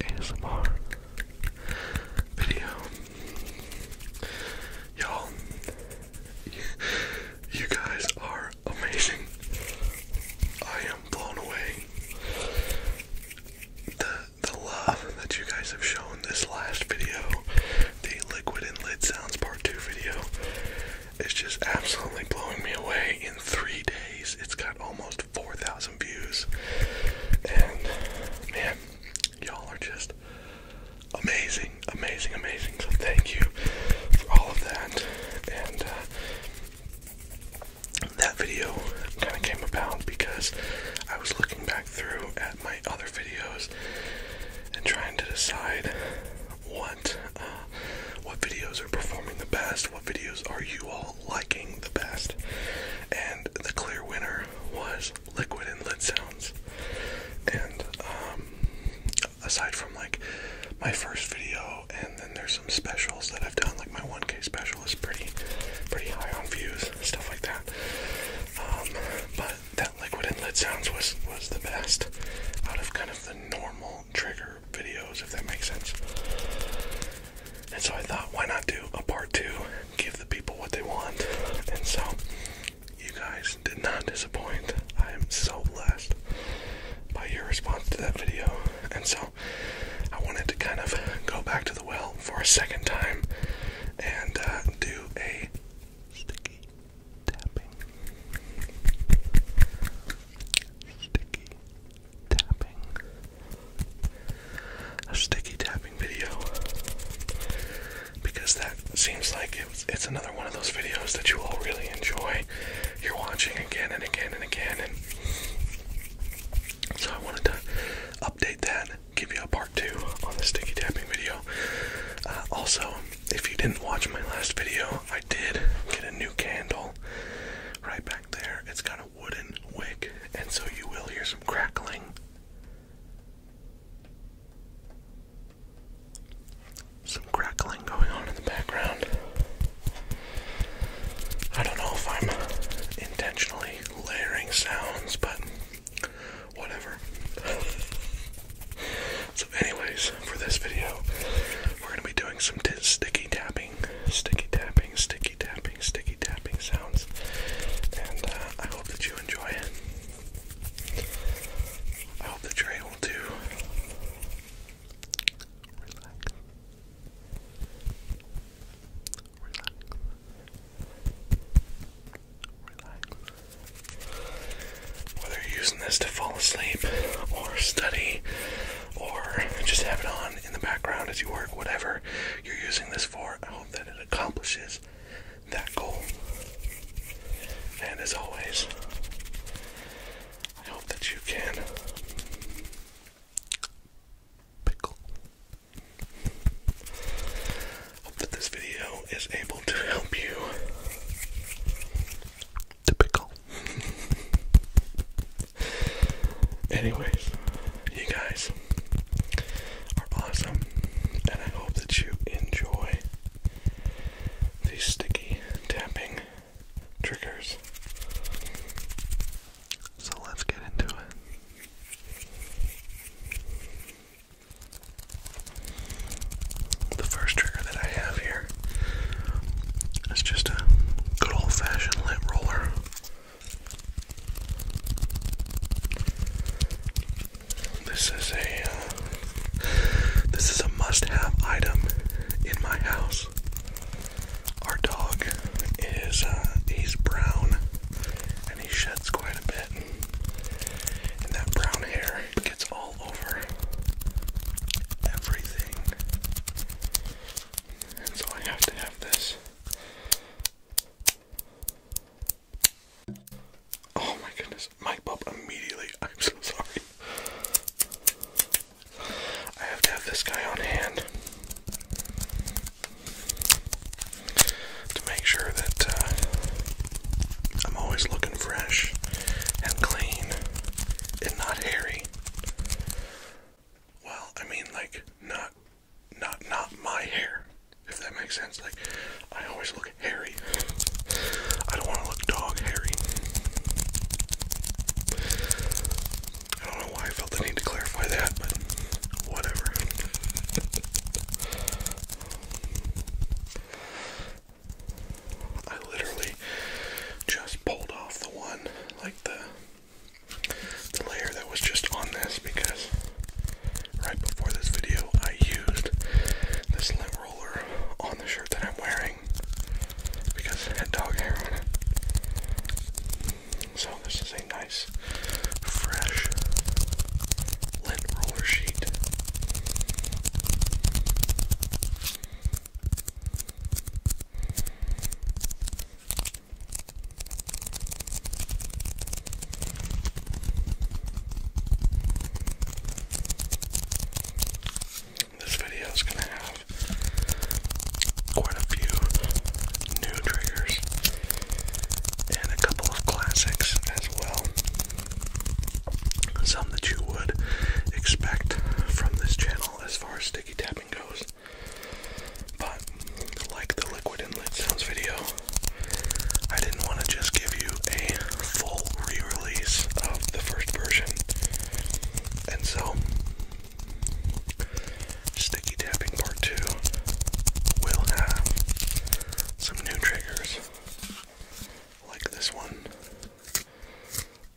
ASMR video. Y'all, you guys are amazing. I am blown away. The the love that you guys have shown this last video, the liquid and lid sounds part two video. It's just absolutely blowing me away. In three days, it's got almost 4,000 views. And man, y'all are just amazing, amazing, amazing. So thank you for all of that. And uh, that video kind of came about because I was looking back through at my other videos and trying to decide. What uh, what videos are performing the best, what videos are you all liking the best. And the clear winner was Liquid and Lid Sounds. And um, aside from like my first video, and then there's some specials that I've done, like my 1K special is pretty, pretty high on views, stuff like that. Um, but that Liquid and Lid Sounds was was the best out of kind of the normal trigger videos, if that makes sense. And so I thought, why not do a part two? Give the people what they want. And so you guys did not disappoint. I am so blessed by your response to that video. And so I wanted to kind of go back to the well for a second time and uh, do a sticky sticky tapping, a sticky tapping video because that seems like it's, another one of those videos that you all really enjoy. You're watching again and again and again, and so I wanted to update that. Give you a part two on the sticky tapping video. Uh, also, if you didn't watch my last video, I did get a new candle right back there, it's got a wooden wick, and so you will hear some crackling. Some crackling going on in the background. I don't know if I'm intentionally layering sounds, but whatever. So, anyways, for this video, we're gonna be doing some sticky tapping, sticky tapping, sticky tapping, sticky tapping sounds, and uh, I hope that you enjoy it. I hope that you're able relax, relax, relax whether you're using this to fall asleep or study or just have it on in the background as you work, whatever you're using this for, I hope that it accomplishes that goal. And as always, I hope that you can pickle. Hope that this video is able to help you Typical. Anyways, you guys are awesome, and I hope that you enjoy these sticky tapping triggers. So let's get into it the first trigger that I have here is just a good old fashioned lint roller. This is a uh, this is a must-have item in my house. Our dog is uh, he's brown and he sheds quite a bit, and that brown hair it gets all over everything. And so I have to have this. Oh my goodness, mic pop immediately. I'm so sorry. I have to have this guy on hand to make sure that uh, I'm always looking fresh and clean and not hairy. Well, I mean, like, not, not, not my hair. If that makes sense, like, I always look hairy. I don't want to look dog hairy. I don't know why I felt the need to clarify that, but whatever. I literally just pulled off the one, like the the layer that was just on this because right before this video I used this lint roller on the shirt that I'm wearing because it had dog hair on it. So this is a nice fresh lint roller sheet. This video is going to have quite a few new triggers and a couple of classics as well some that you would expect from this channel as far as sticky tapping goes. But like the liquid inlet sounds video, I didn't want to just give you a full re-release of the first version. And so sticky tapping part two will have some new triggers like this one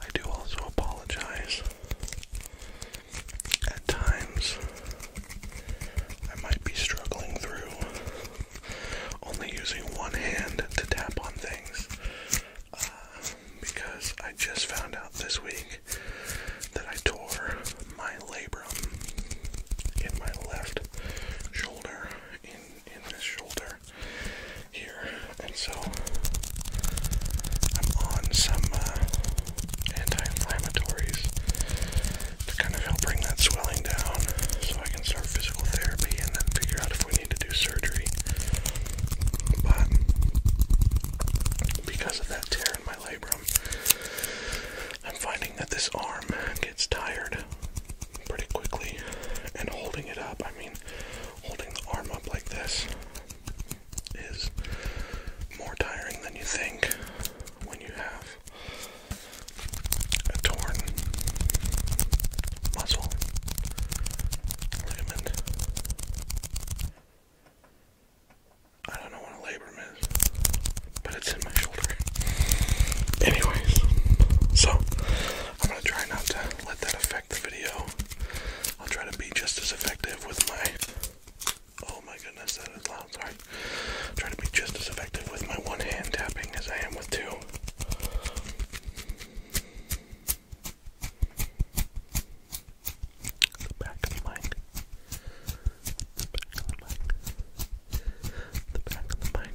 I do also apologize. At times, I might be struggling through only using one hand to tap on things uh, because I just found out this week that I tore my labrum in my left shoulder in this shoulder here, and so I'm on some uh, anti-inflammatories to kind of help bring that swelling down, so I can start physical therapy and then figure out if we need to do surgery. But because of that tear in my labrum, I'm finding that this arm gets tired pretty quickly, and holding it up. I mean, holding the arm up like this is more tiring than you think when you have a torn muscle I don't know what a labrum is, but it's in my shoulder. Anyways, so I'm gonna try not to let that affect the video. I'll try to be just as effective with my. Oh my goodness, that is loud. Sorry. try to be just as effective with my one hand tapping as I am with two. The back of the mic. The back of the mic. The back of the mic.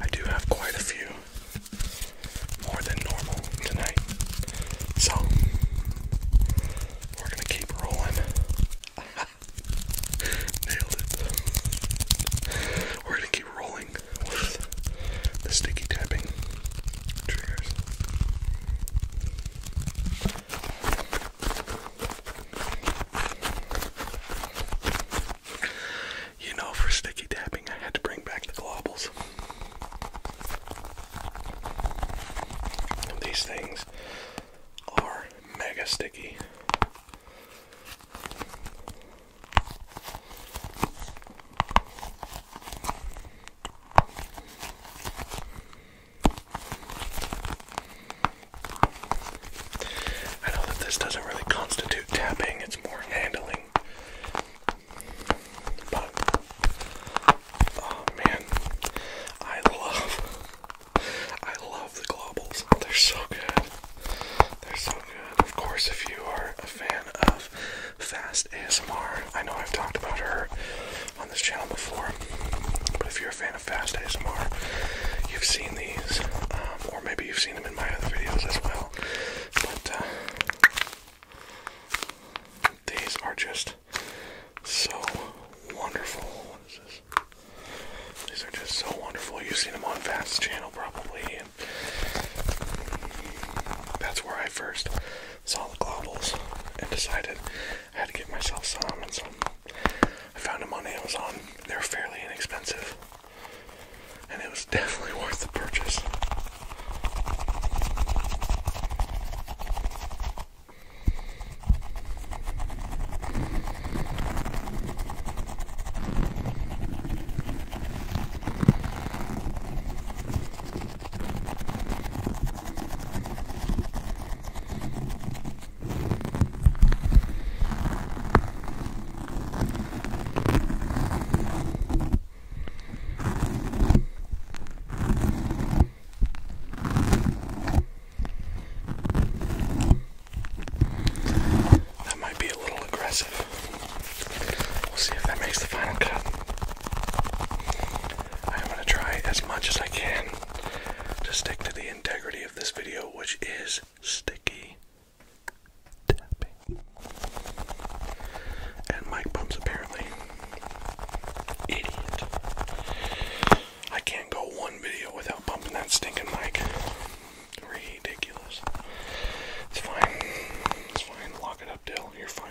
I do have quite a few, more than normal tonight, so we're gonna keep rolling. Nailed it. We're gonna keep rolling with the sticky tapping triggers. You know, for sticky tapping, I had to bring back the globbles. These things are mega sticky. I know that this doesn't really constitute tapping, it's more handling. But, oh man, I love, I love the globals. They're so good. They're so good. Of course, if you are a fan of Fast ASMR. I know I've talked about her on this channel before, but if you're a fan of Fast ASMR, you've seen these, um, or maybe you've seen them in my other videos as well. But uh, these are just so wonderful. These are just so wonderful. You've seen them on Fast's channel probably, that's where I first saw the globals and decided I had to get myself some, and so I found them on Amazon. They're fairly inexpensive, and it was definitely worth the purchase. That might be a little aggressive. We'll see if that makes the final cut. I'm going to try as much as I can to stick to the integrity of this video, which is sticky tapping and mic bumps apparently. Idiot. I can't go one video without bumping that stinking mic. Ridiculous. It's fine. It's fine. Lock it up, Dale. You're fine.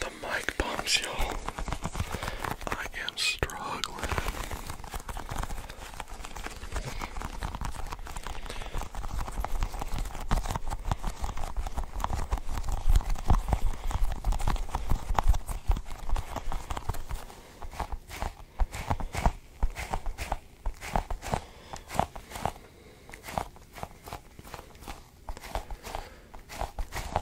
the mic bombs, y'all. I am struggling.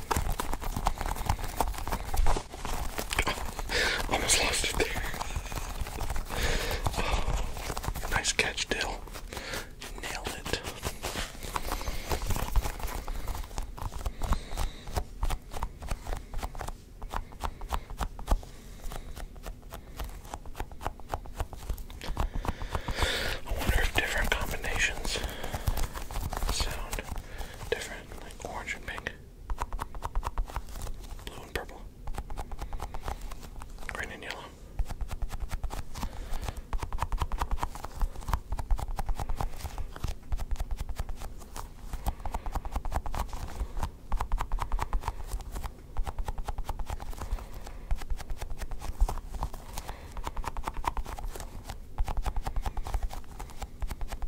Almost lost it there. Oh, nice catch, Dill. Nailed it. I wonder if different combinations sound different, like orange and pink, blue and purple, green and yellow.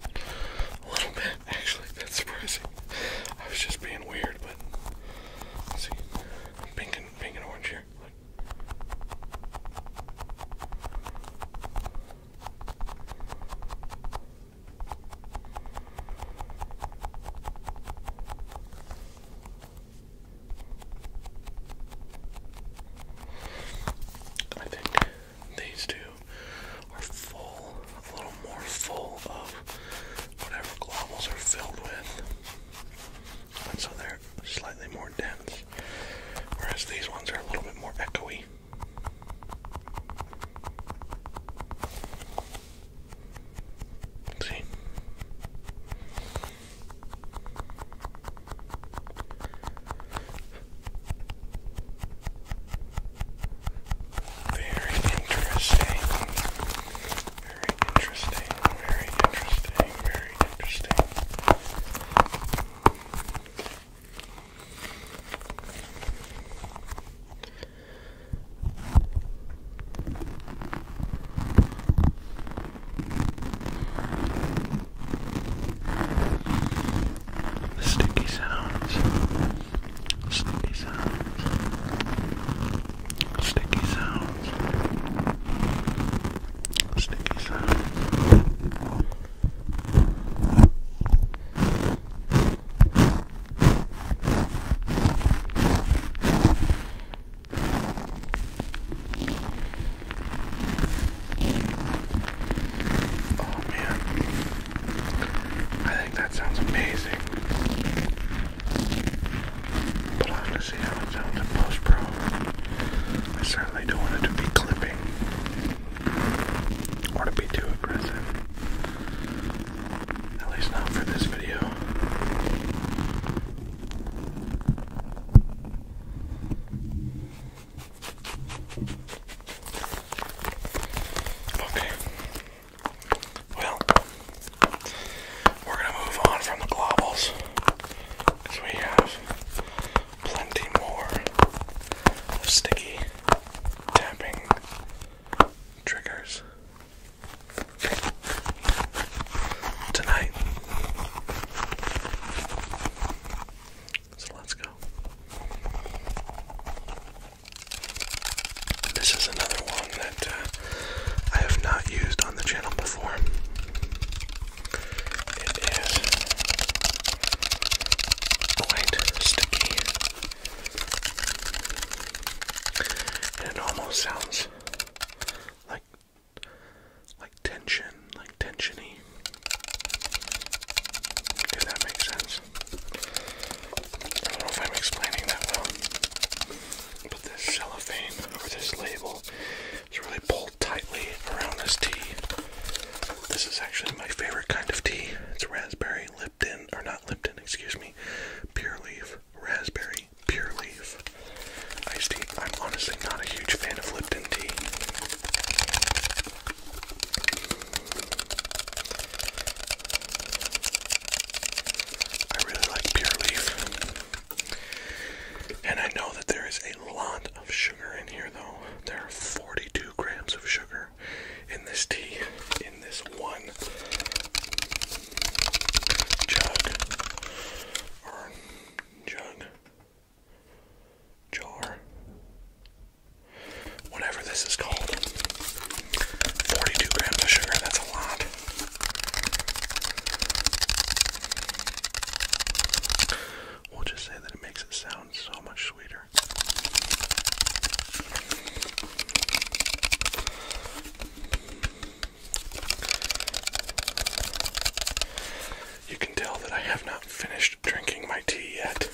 A little bit, actually. That's surprising. I was just being weird, but see. Pink and pink and orange here. I think these two are full, a little more full of whatever globules are filled with. And so they're slightly more dense. Whereas these ones are a little bit more echoey. See? Very interesting. Very interesting. Very interesting. Very interesting. Sticky sounds. Sticky sounds. Sticky sounds. Sticky sounds. Sticky sounds. Oh man, I think that sounds amazing. But I'm to see how it sounds in post pro. I certainly don't want it to be clipping or to be too aggressive. At least not for this video. Okay. Well, we're going to move on from the globals because we have plenty more sticky tapping triggers tonight. So let's go. This is another one that uh, I have not used on the channel before. It is quite sticky. And it almost sounds like like tension, like tensiony. If that makes sense. I don't know if I'm explaining that well. But this cellophane or this label is really pulled tightly around this tea. This is actually my favorite kind of tea. It's raspberry Lipton, or not Lipton, excuse me, pure leaf, raspberry pure leaf iced tea. I'm honestly not a huge fan of Lipton tea. I really like Pure Leaf. And I know that there is a lot of sugar in here, though. There are 42 grams of sugar in this tea, in this one jug or jug jar, whatever this is called. 42 grams of sugar, that's a lot. We'll just say that it makes it sound so much sweeter. You can tell that I have not finished drinking my tea yet.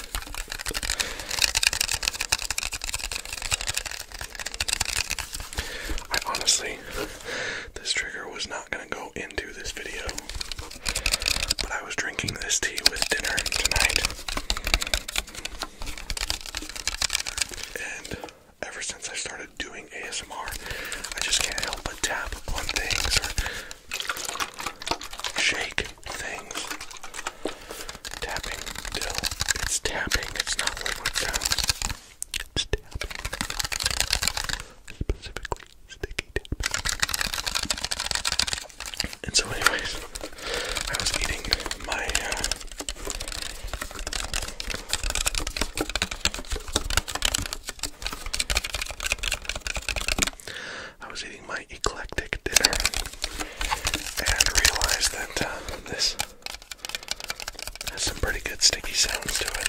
I honestly, this trigger was not going to go into this video, but I was drinking this tea with dinner tonight. And ever since I started doing ASMR, I just can't help but tap on things shake things. Tapping, It's tapping, it's not liquid sounds. It's tapping. Specifically, sticky tapping. And so, anyways, I was eating my. Uh, I was eating my eclectic dinner and realized that uh, this has some pretty good sticky sounds to it.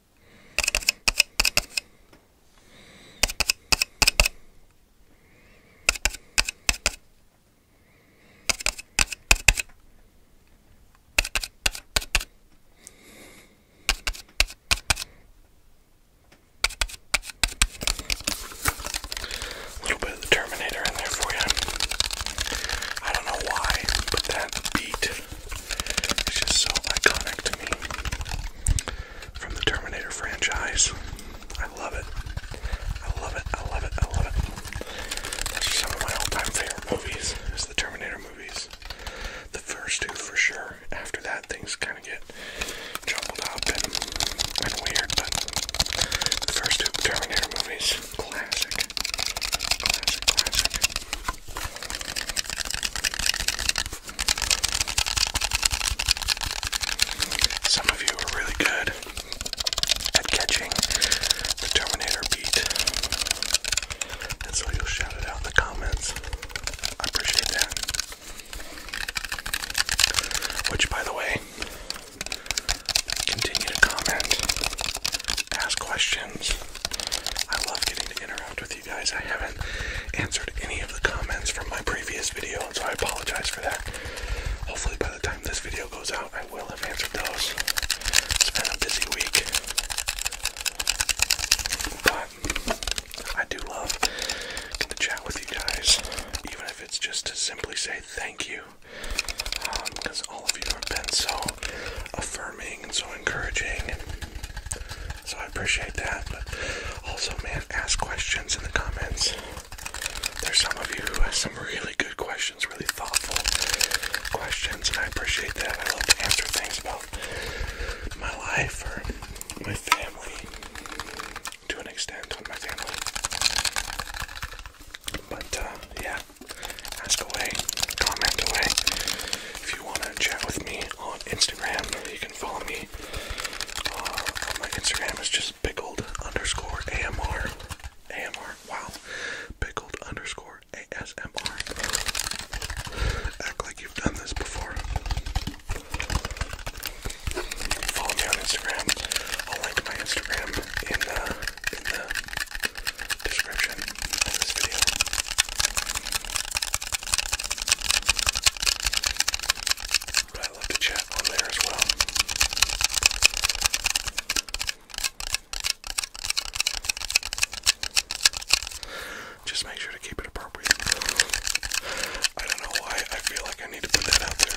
A little bit of the Terminator in there for you. I don't know why, but that beat is just so iconic to me from the Terminator franchise. I love it. I love it. I love it. I love it. That's just some of my all-time favorite movies is the Terminator movies. The first two for sure. After that, things kind of get jumbled up and, weird, but the first two Terminator movies, classic. Classic, classic. Some of you are really good at catching the Terminator beat. And so you'll out in the comments. I appreciate that. Which, by the way, continue to comment, ask questions. I love getting to interact with you guys. I haven't answered any of the comments from my previous video, so I apologize for that. Hopefully, by the time this video goes out, I will have answered those. It's been a busy week. But I do love to chat with you guys, even if it's just to simply say thank you. Because um, all of you have been so affirming and so encouraging. So I appreciate that. But also, man, ask questions in the comments. There's some of you who have some really good questions, really thoughtful questions, and I appreciate that. I love to answer things about my life or my family to an extent with my family. But uh, yeah, ask away, comment away. If you want to chat with me on Instagram, follow me uh, on my Instagram. It's just pickled underscore wow. Pickled Act like you've done this before. Follow me on Instagram. I'll link my Instagram in the description of this video. But I love to chat on there as well. Just make sure to keep it appropriate. I don't know why I feel like I need to put that out there.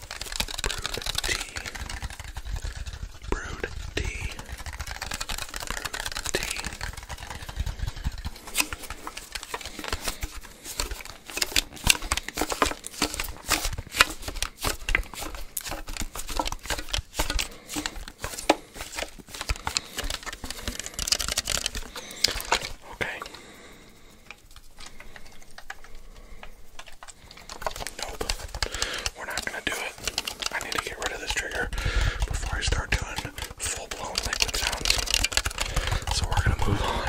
Brewed tea. Brewed tea. Brewed tea. Okay. Nope. We're not gonna do it. I need to get rid of this trigger before I start doing full-blown liquid sounds. So we're gonna move on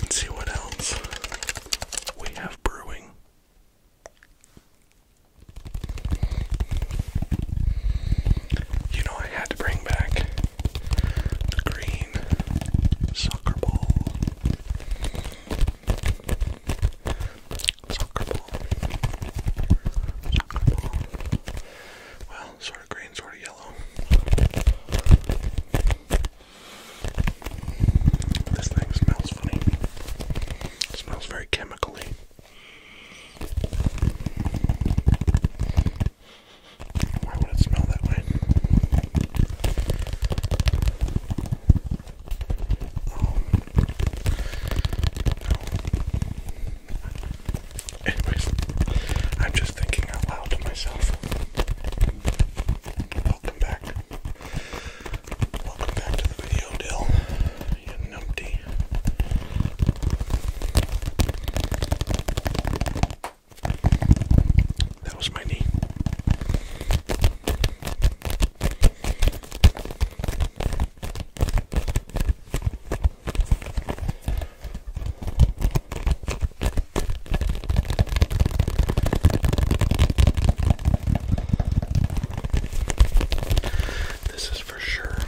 and see what else we have brewing. You know, I had to bring back the green soccer ball. Soccer ball. Soccer ball. Well, sort of green, sort of yellow. This thing smells funny. smells very chemically. Why would it smell that way? No. Anyways, I'm just thinking out loud to myself. Welcome back. Welcome back to the video, Dill. You that was my knee. This is for sure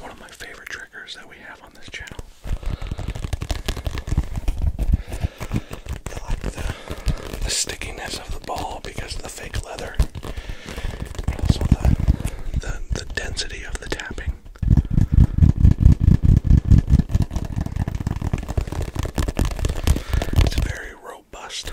one of my favorite triggers that we have on this channel. I like the the stickiness of the ball because of the fake leather, and also the, the, the density of the tapping. It's very robust.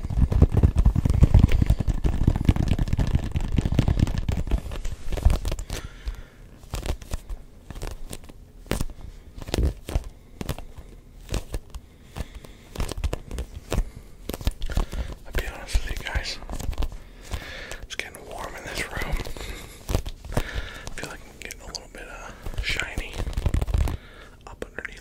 I'll be honest with you guys. It's getting warm in this room. I feel like I'm getting a little bit uh, shiny up underneath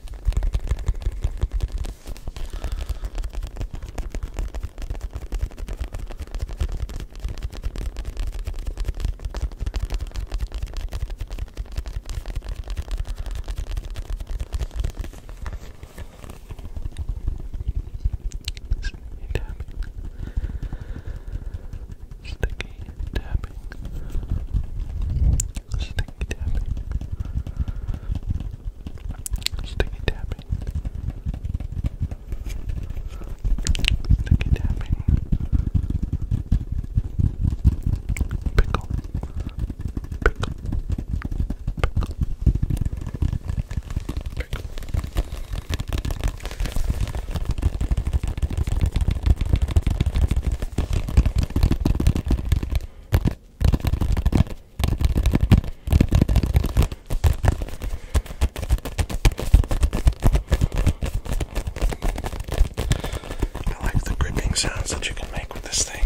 Sticky tapping. Sticky tapping. Sticky tapping. Sticky tapping. Pickle. Pickle. I like the gripping sounds that you can make with this thing.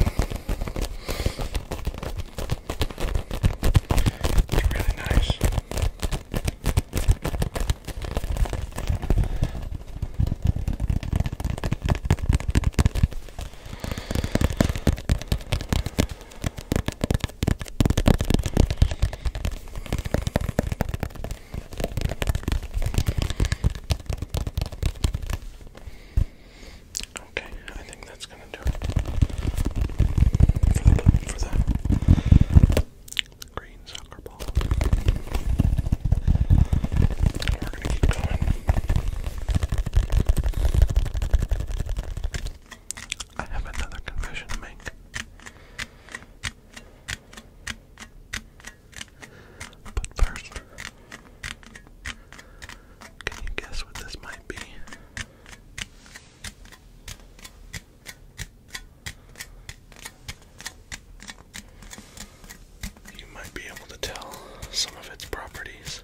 It's really nice. Okay, I think that's gonna do it for the, for the green soccer ball. We're gonna keep going. I have another confession to make. But first, can you guess what this might be? you might be able to tell some of its properties.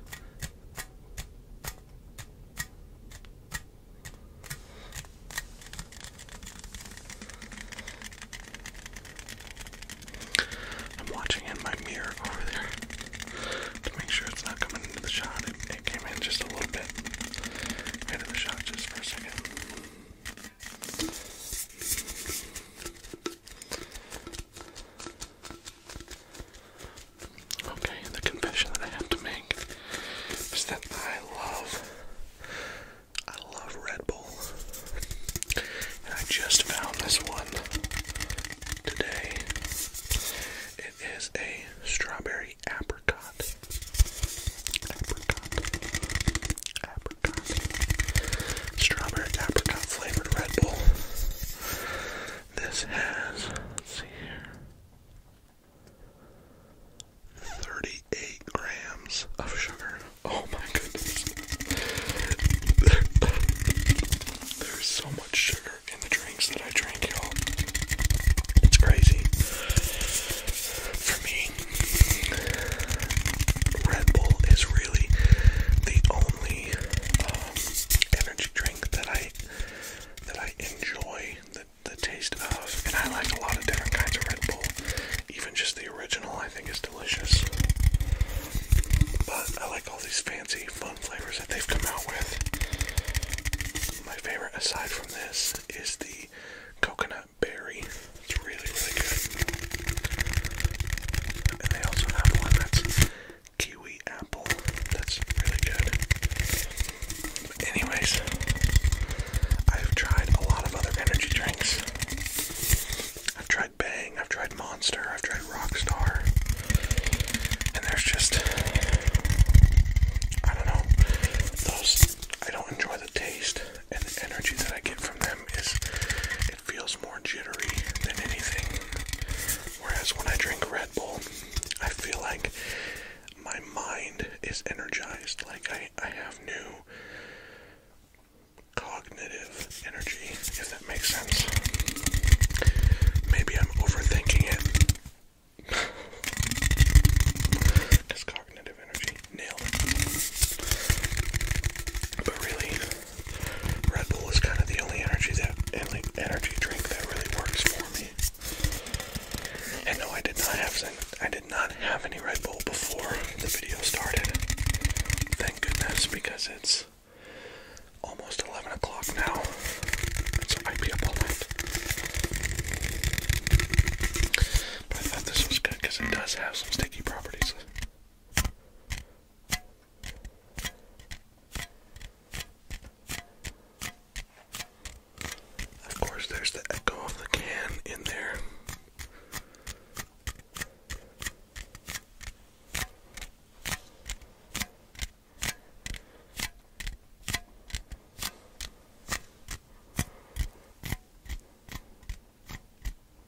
I'm watching in my mirror over there to make sure it's not coming into the shot. It, came in just a little bit into the shot just for a second. Okay, the confession that I have to make is that I love, I love Red Bull, I just found this one today. It is a strawberry apricot strawberry apricot flavored Red Bull. This has, let's see here, 38 grams of sugar. Oh my goodness. There's so much sugar in the drinks that I drink, y'all. It's crazy. For me, Red Bull is really the only uh, energy drink that I that I enjoy the, the taste of, and I like a lot of different kinds of Red Bull. Even just the original, I think, is delicious. But I like all these fancy, fun flavors that they've come out with. My favorite, aside from this, is the coconut berry. It's really, really good and they also have one that's kiwi apple. That's really good. But anyways, I've tried a lot of other energy drinks. I've tried Bang, I've tried Monster, I've tried Rockstar. And there's just I don't know. Those I don't enjoy the taste and the energy that I get from them is it feels more jittery than anything. Whereas when I drink Red Bull, I feel like my mind is energized, like I, I have new cognitive energy, if that makes sense. Maybe I'm overthinking it. Just cognitive energy. Nailed But really, Red Bull is kind of the only energy that energy drink that really works for me. And no, I did not have I did not have any Red Bull before the video started. Thank goodness because it's almost 11 o'clock now, so I might be up all But I thought this was good because it does have some sticky properties. Of course, there's the echo of the can in there.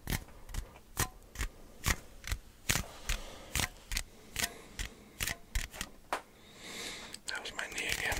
That was my knee again.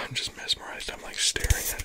I'm just mesmerized. I'm like staring at.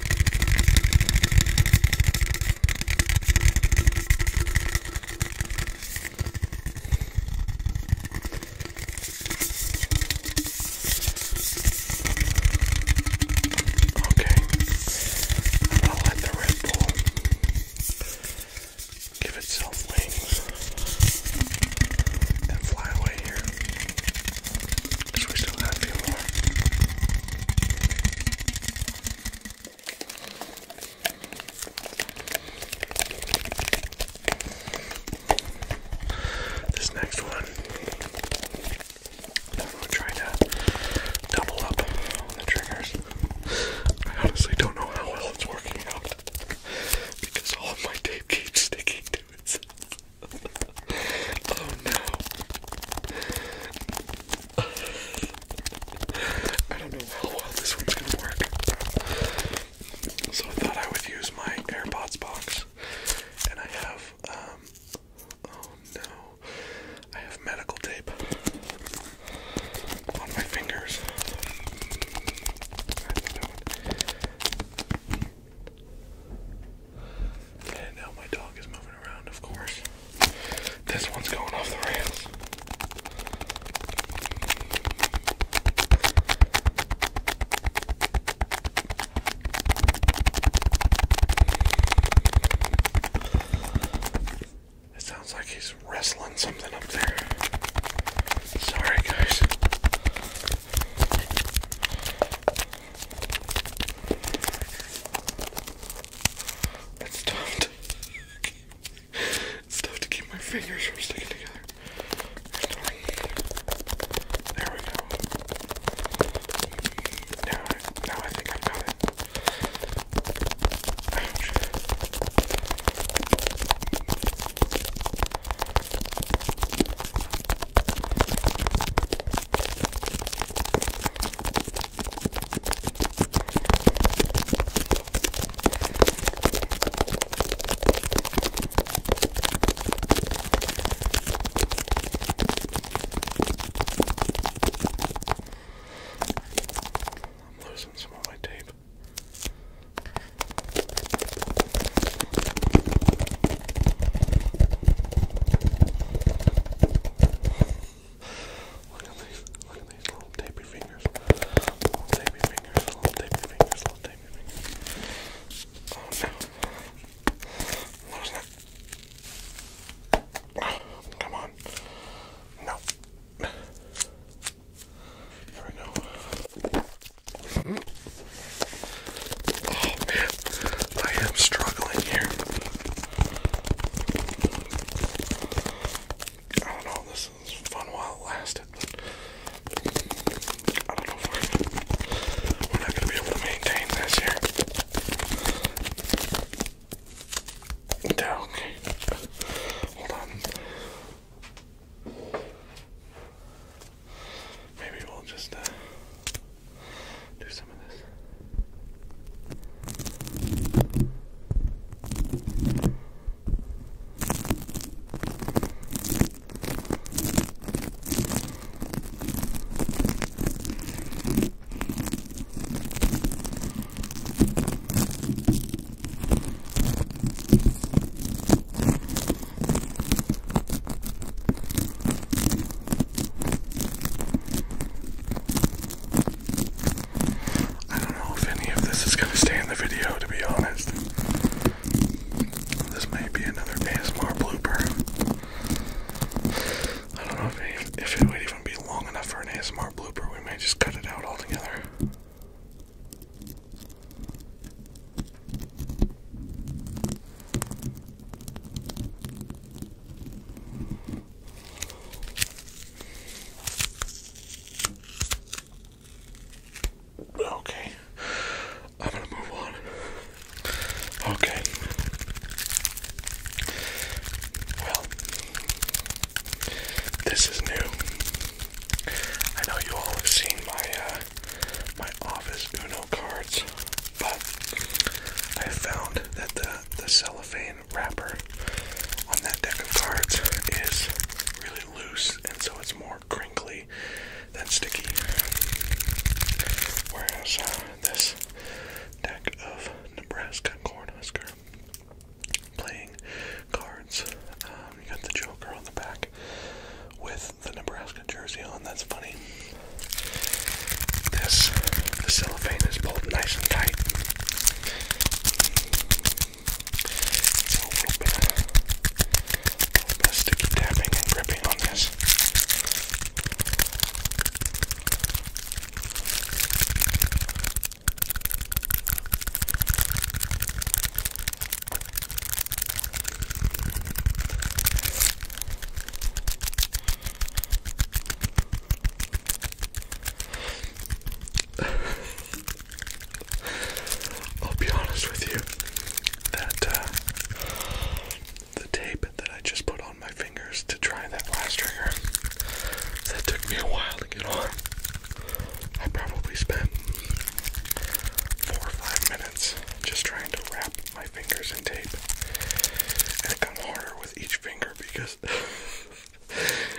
Okay, I'll let the Red Bull give itself wings and fly away here. Because we still have a few more. This next one, I'm going to try to double up on the triggers. I honestly don't know how well it's working out because all of my tape keeps sticking to itself. oh no. I don't know how well this one's gonna work. So I thought I would use my AirPods box, and I have um oh no, I have medical tape on my fingers. And now my dog is moving around, of course. This one's going off the rails. It sounds like he's wrestling something up there. Sorry, guys. It's tough to it's to keep my fingers from sticking together. There we go. Now I, think i got it. Ouch. I'm losing some of my tape. Look at these, look at these little tapey fingers. Little tapey fingers, little tapey fingers, little tapey fingers. Oh, ah, come on. No. There Oh man, I am struggling here. I don't know, this is fun while it lasted, but I don't know if we're, not going to be able to maintain this here. okay. Hold on. Maybe we'll just, uh, do some of this. I don't know if any of this is going to stay in the video, to be honest. This may be another ASMR blooper. I don't know if it, if it would even be long enough for an ASMR blooper. We may just cut it out altogether. Okay. I'm gonna move on. Okay. Well, this is new. I know you all have seen my uh, my office Uno cards, but I found that the the wrapper on that deck of cards is really loose, and so it's more crinkly than sticky. Whereas uh, this deck of Nebraska Cornhusker playing cards, um, you got the Joker on the back with the Nebraska jersey on. That's funny. This the cellophane is pulled nice and tight. So a little bit, a little bit of sticky tapping and gripping on this. I'll be honest with you that uh, the tape that I just put on my fingers to try that last trigger that took me a while to get on. I probably spent four or five minutes just trying to wrap my fingers in tape, and it got harder with each finger because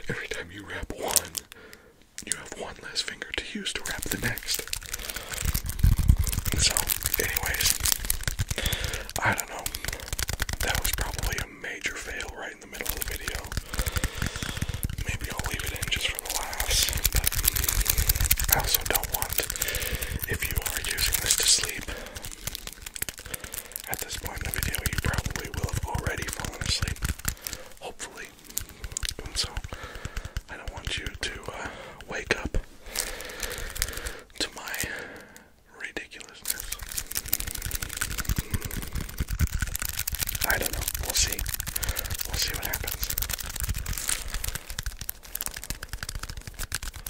every time you wrap one, you have one less finger to use to wrap the next. So, anyways, I don't know. That was probably a major fail right in the middle of the video. Maybe I'll leave it in just for the laughs, also don't want, if you are using this to sleep, at this point in the video, you probably will have already fallen asleep, hopefully. so, I don't want you to uh, wake up to my ridiculousness. I don't know. We'll see. We'll see what happens.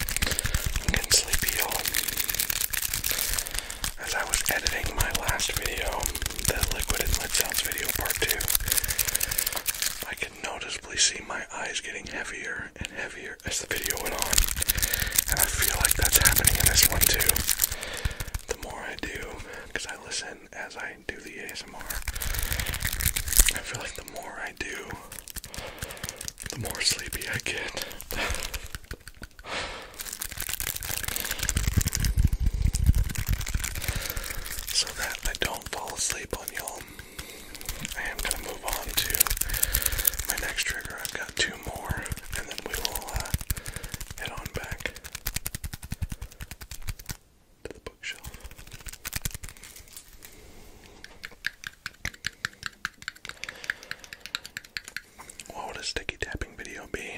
I'm getting sleepy, As I was editing my last video, the liquid and lid sounds video part two, I could noticeably see my eyes getting heavier and heavier as the video went on, and I feel like that's happening in this one too. The more I do, because I listen as I do the ASMR, I feel like the more I do, the more sleepy I get. so that I don't fall asleep on y'all, I am going to move on to my next trigger. I've got two more, and then we will uh, head on back to the bookshelf. What would a sticky tapping video be?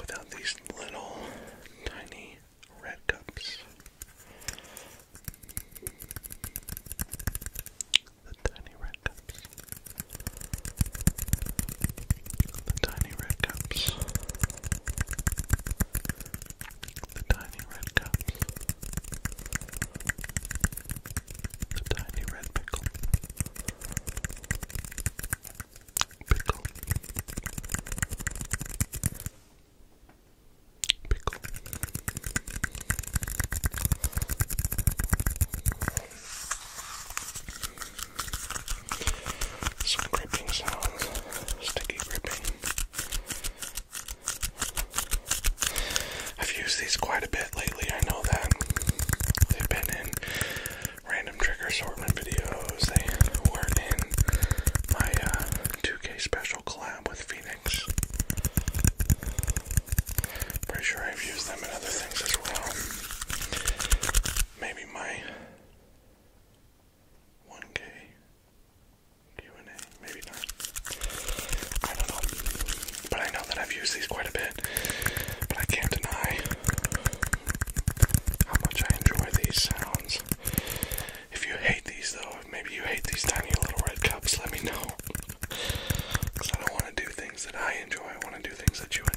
Without these little tiny red cups. The tiny red cups. The tiny red cups. The tiny red cups. The tiny red pickle. Pickle. Pickle. Some gripping sounds, sticky gripping. I've used these quite a bit lately, I know that. They've been in random trigger assortment videos, they were in my 2K uh, special collab with Phoenix. Pretty sure I've used them in other things as well. Maybe my 1K Q&A, maybe not. I don't know, but I know that I've used these quite a bit, but I can't deny how much I enjoy these sounds. If you hate these though, maybe you hate these tiny little red cups, let me know. Because I don't want to do things that I enjoy, I want to do things that you enjoy.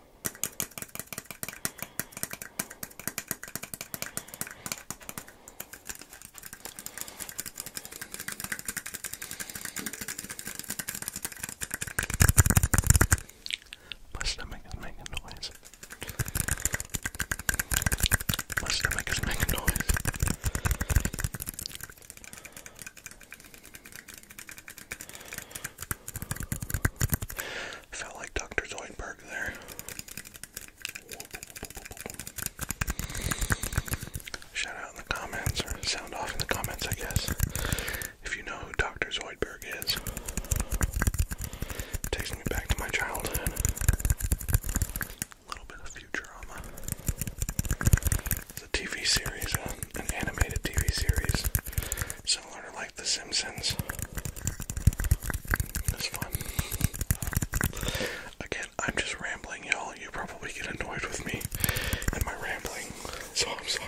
My stomach is making noise. My stomach is making noise felt like Dr. Zoidberg there. Shout out in the comments, or sound off in the comments, I guess, if you know who Dr. Zoidberg is. takes me back to my childhood. A little bit of Futurama. It's a TV series, uh, an animated TV series. So similar like The Simpsons. It's fun. Again, I'm just rambling, y'all. You probably get annoyed with me and my rambling, so I'm sorry.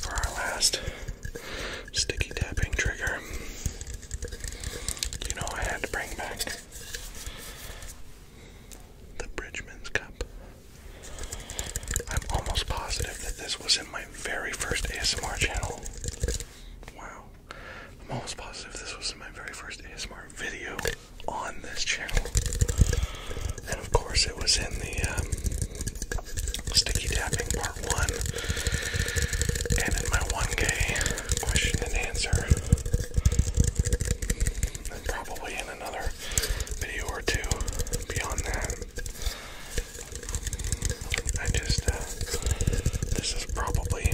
For our last sticky tapping trigger, you know, I had to bring back the Bridgman's Cup. I'm almost positive that this was in my very first ASMR channel. Wow. I'm almost positive this was in my very first ASMR video on this channel. And of course, it was in the um, sticky tapping part one. And in my 1K question and answer. And probably in another video or two beyond that. I just, uh, this is probably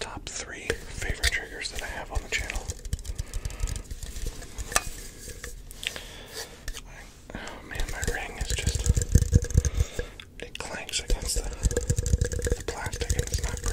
top three favorite triggers that I have on the channel. oh man, my ring is just it clanks against the, the plastic and it's not great.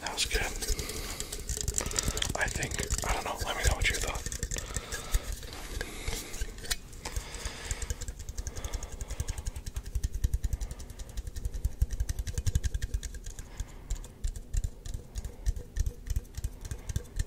That was good. I think I don't know, let me know what you thought.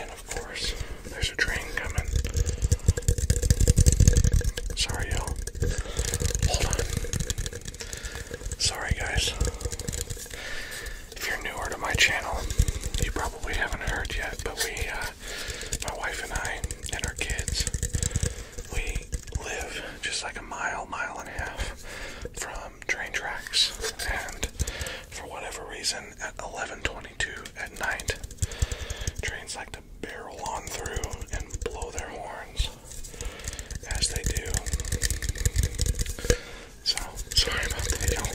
And of course, there's a train coming. Sorry, y'all. Hold on. Sorry, guys. If you're newer to my channel, you probably haven't heard yet, but we, uh, my wife and I, and our kids, we live just like a mile, mile and a half from train tracks. And for whatever reason at 11:22 at night. Trains like to barrel on through and blow their horns as they do. So sorry about that, you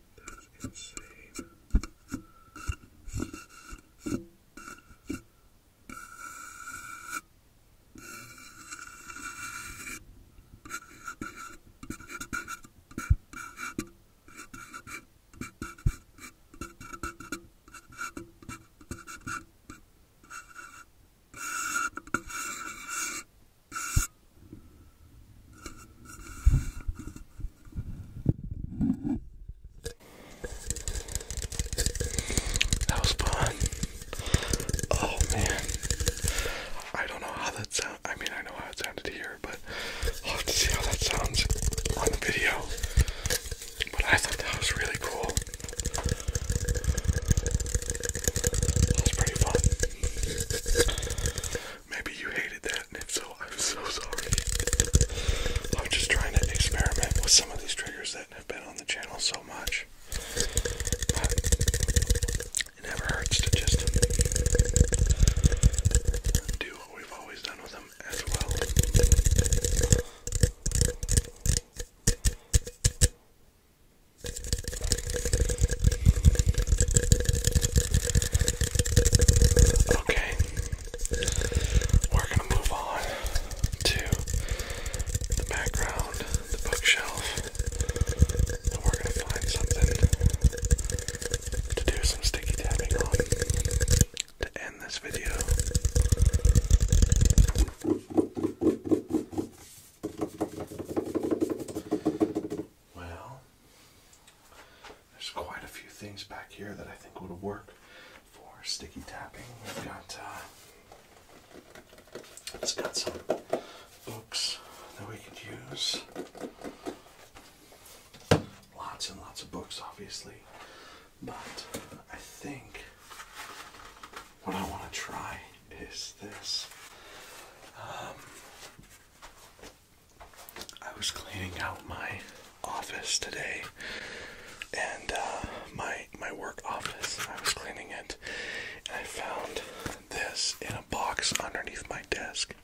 That is insane. That was fun. Oh man. I don't know how that sounds. I mean, I know how it sounded here, but I'll have to see how that sounds on video. But I thought that was really cool. That was pretty fun. Maybe you hated that, and if so, I'm so sorry. I'm just trying to experiment with some of these triggers that have been on the channel so much. it never hurts to just do what we've always done with them as well. Okay, we're gonna move on to the background, the bookshelf, and we're gonna find something to do some sticky tapping on to end this video. Well, there's quite a few things back here that I think would work for sticky tapping. We've got uh, it's got some books that we could use. Lots and lots of books, obviously, but I think what I want to try is this. Um, I was cleaning out my office today, and uh, my my work office. I was cleaning it, and I found this in a box underneath my desk.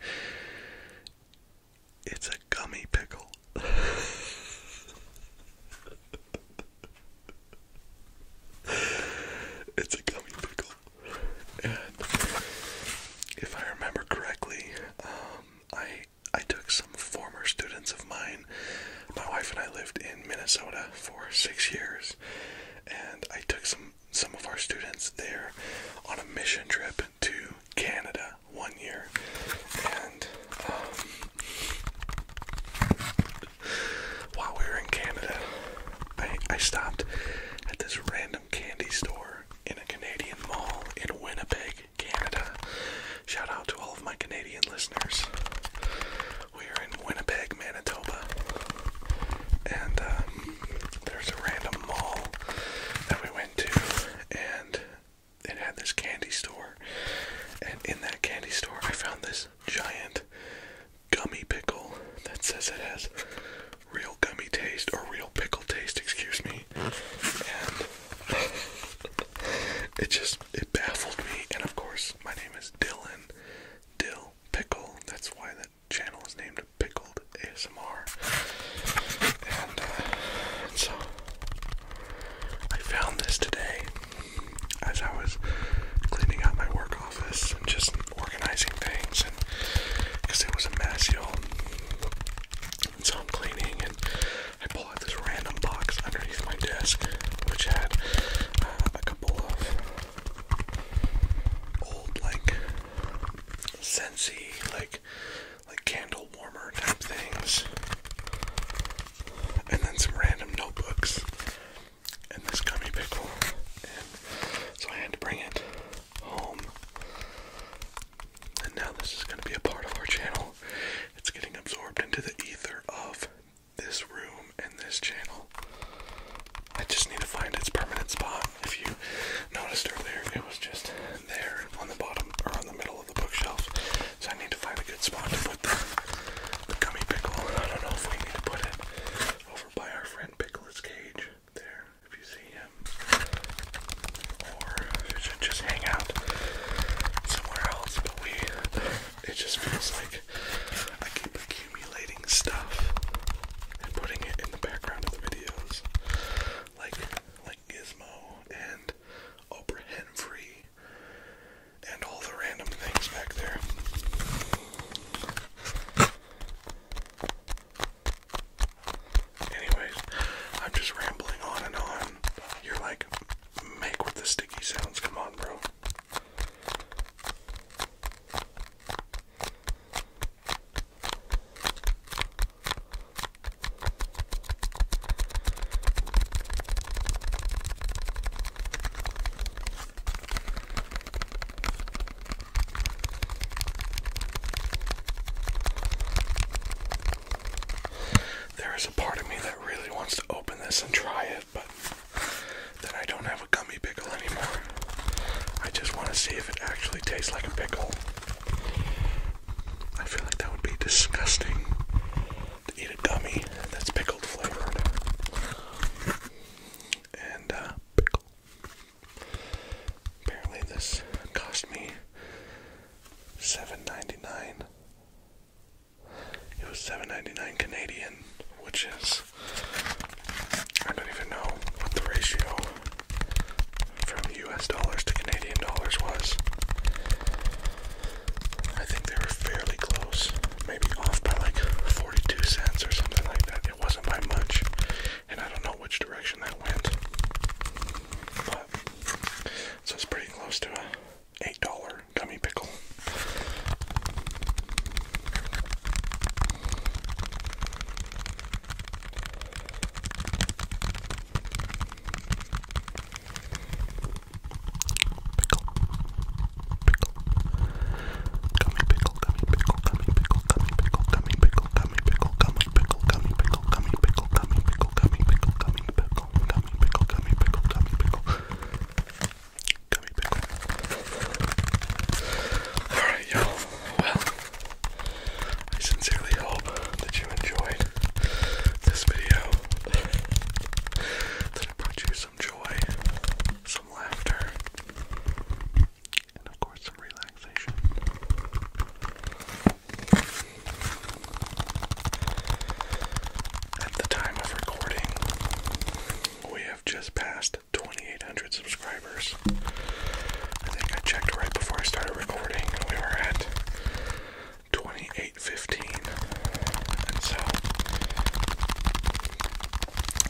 It's a gummy pickle. it's a gummy pickle. if I remember correctly, um, I I took some former students of mine. My wife and I lived in Minnesota for six years, and I took some some of our students there on a mission trip to Canada one year, and um, while we were in Canada, I I stopped at this random candy store in a Canadian mall in Winnipeg, Canada. Shout out to all of my Canadian listeners. We are in Winnipeg, Manitoba. And um, there's a random mall that we went to, and it had this candy store. And in that candy store, I found this giant gummy pickle that says it has real gummy taste or real pickle taste, excuse me. And it just it baffled me. And of course, my name is Dylan Dill Pickle. That's why that channel is named Pickled ASMR. And, and uh, so I found this today as I was cleaning out my work office and just organizing things, and because it was a mess, you know. And so I'm cleaning, and I pull out this random box underneath my desk, which had uh, a couple of old, like, Sensi, like, like candle warmer type things, and then some random notebooks, and this gummy pickle, and so I had to bring it home. And now this is going to be a part of our channel. It's getting absorbed into the ether of this room and this channel. I just need to find its permanent spot. If you noticed earlier, it was just there on the bottom or on the middle of the bookshelf. So I need to find a good spot to put the, the gummy pickle. I don't know if we need to put it over by our friend Pickle's cage there if you see him, or if you should just hang out somewhere else. But we, it just feels like I keep accumulating stuff and putting it in the background of the videos, like like Gizmo and Oprah Henfrey and all the random things back there. Anyways, I'm just rambling on and on. You're like, make with the sticky sounds. Come on, bro. There is a part of me that really wants to open this and try it, but then I don't have a gummy pickle anymore. I just want to see if it actually tastes like a pickle. I feel like that would be disgusting to eat a gummy that's pickled flavored. And, uh, pickle. Apparently this cost me $7.99. It was $7.99 Canadian, which is I don't even know what the ratio from US dollars to Canadian dollars was. I think they were fairly close, maybe off by like 42 cents or something like that. It wasn't by much and I don't know which direction that went. so it's pretty close to a eight dollar gummy pickle. Pickle. Pickle. Gummy pickle. Alright, y'all. Well, I sincerely hope that you enjoyed this video. That I brought you some joy, some laughter and of course some relaxation. At the time of recording, we have just passed 2,800 subscribers. I think I checked right before I started recording, and we were at 2815. so,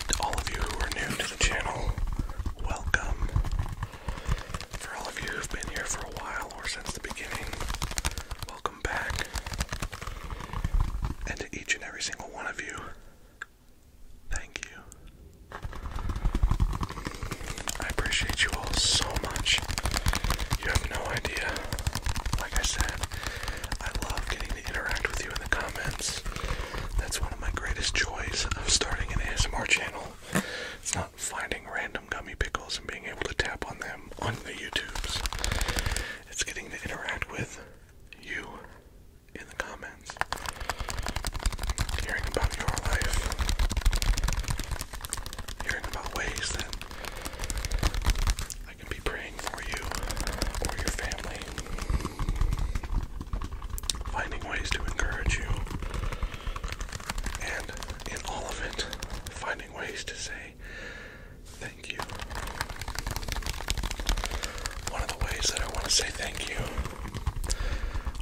to all of you who are new to the channel, welcome. For all of you who've been here for a while or since the beginning, welcome back. And to each and every single one of you, thank you. I appreciate you all so much. You have no idea. Like I said, I love getting to interact with you in the comments. That's one of my greatest joys of starting an ASMR channel it's not finding random gummy pickles and being able to tap on them on the YouTubes. It's getting to interact with you in the comments, hearing about your life, hearing about ways that I can be praying for you or your family finding ways to encourage you, and in all of it, finding ways to say thank you. One of the ways that I want to say thank you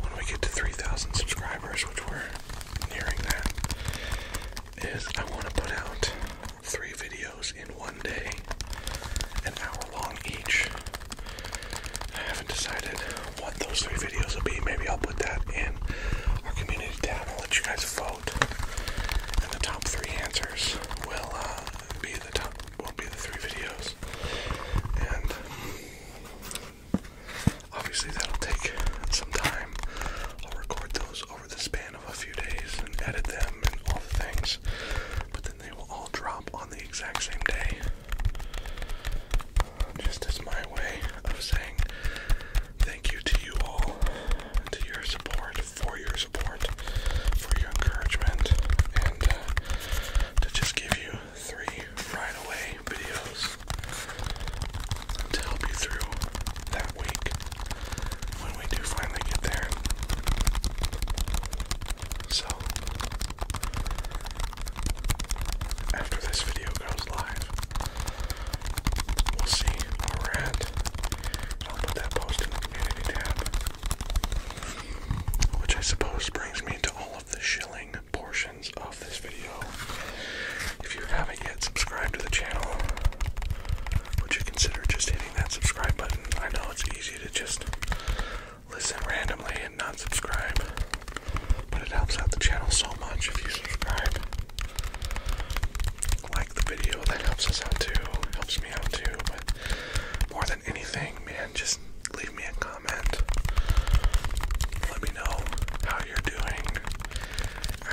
when we get to 3,000 subscribers, which we're nearing that, is I want to put out three videos in one day, an hour long each. I haven't decided what those three videos will be. Maybe I'll put that in our community tab I'll let you guys vote. And the top three answers will uh, be the top will be the three videos. And obviously that'll take some time. I'll record those over the span of a few days and edit them and all the things. But then they will all drop on the exact same day. Just as my way of saying thank you to you all, to your support, for your support, for your encouragement, and uh, to just give you three right away videos to help you through that week when we do finally get there. So, after this video goes live, we'll see where that post in the tab, which I suppose brings me to all of the shilling portions of this video. If you haven't yet subscribed to the channel, would you consider just hitting that subscribe button? I know it's easy to just listen randomly and not subscribe. But it helps out the channel so much if you subscribe. Like the video, that helps us out too. Helps me out too. more than anything, man, just leave me a comment. Let me know how you're doing.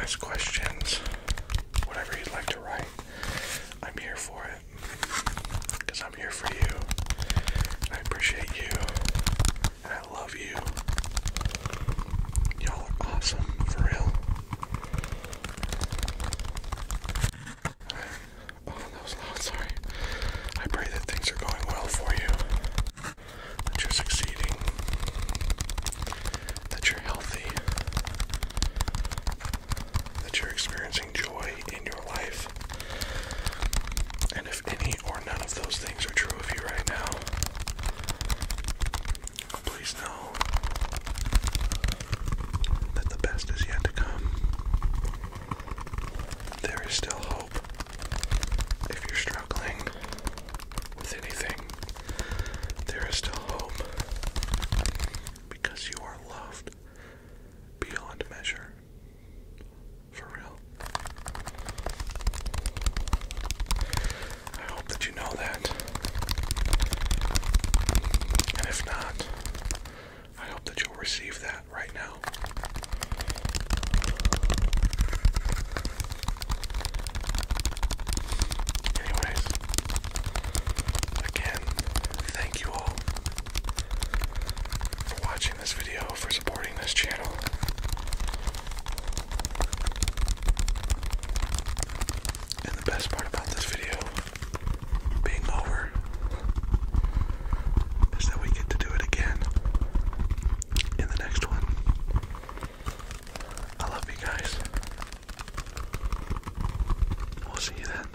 Ask questions. Whatever you'd like to write. I'm here for it. I'm here for you. I appreciate you. I love you. Y'all are awesome, for real. Oh, that was loud, sorry. I pray that things are going well for you. That you're succeeding. That you're healthy. That you're experiencing joy in your life. And if any or none of those things are true of you right now, please know that the best is yet to come. There is still hope if you're struggling with anything. There is still hope because you are loved beyond measure. For real. I hope that you know that. And if not, I hope that you'll receive that right now. Anyways, again, thank you all for watching this video, for supporting this channel. And the best part about this video being over is that we get to do it again in the next one. I love you guys. We'll see you then.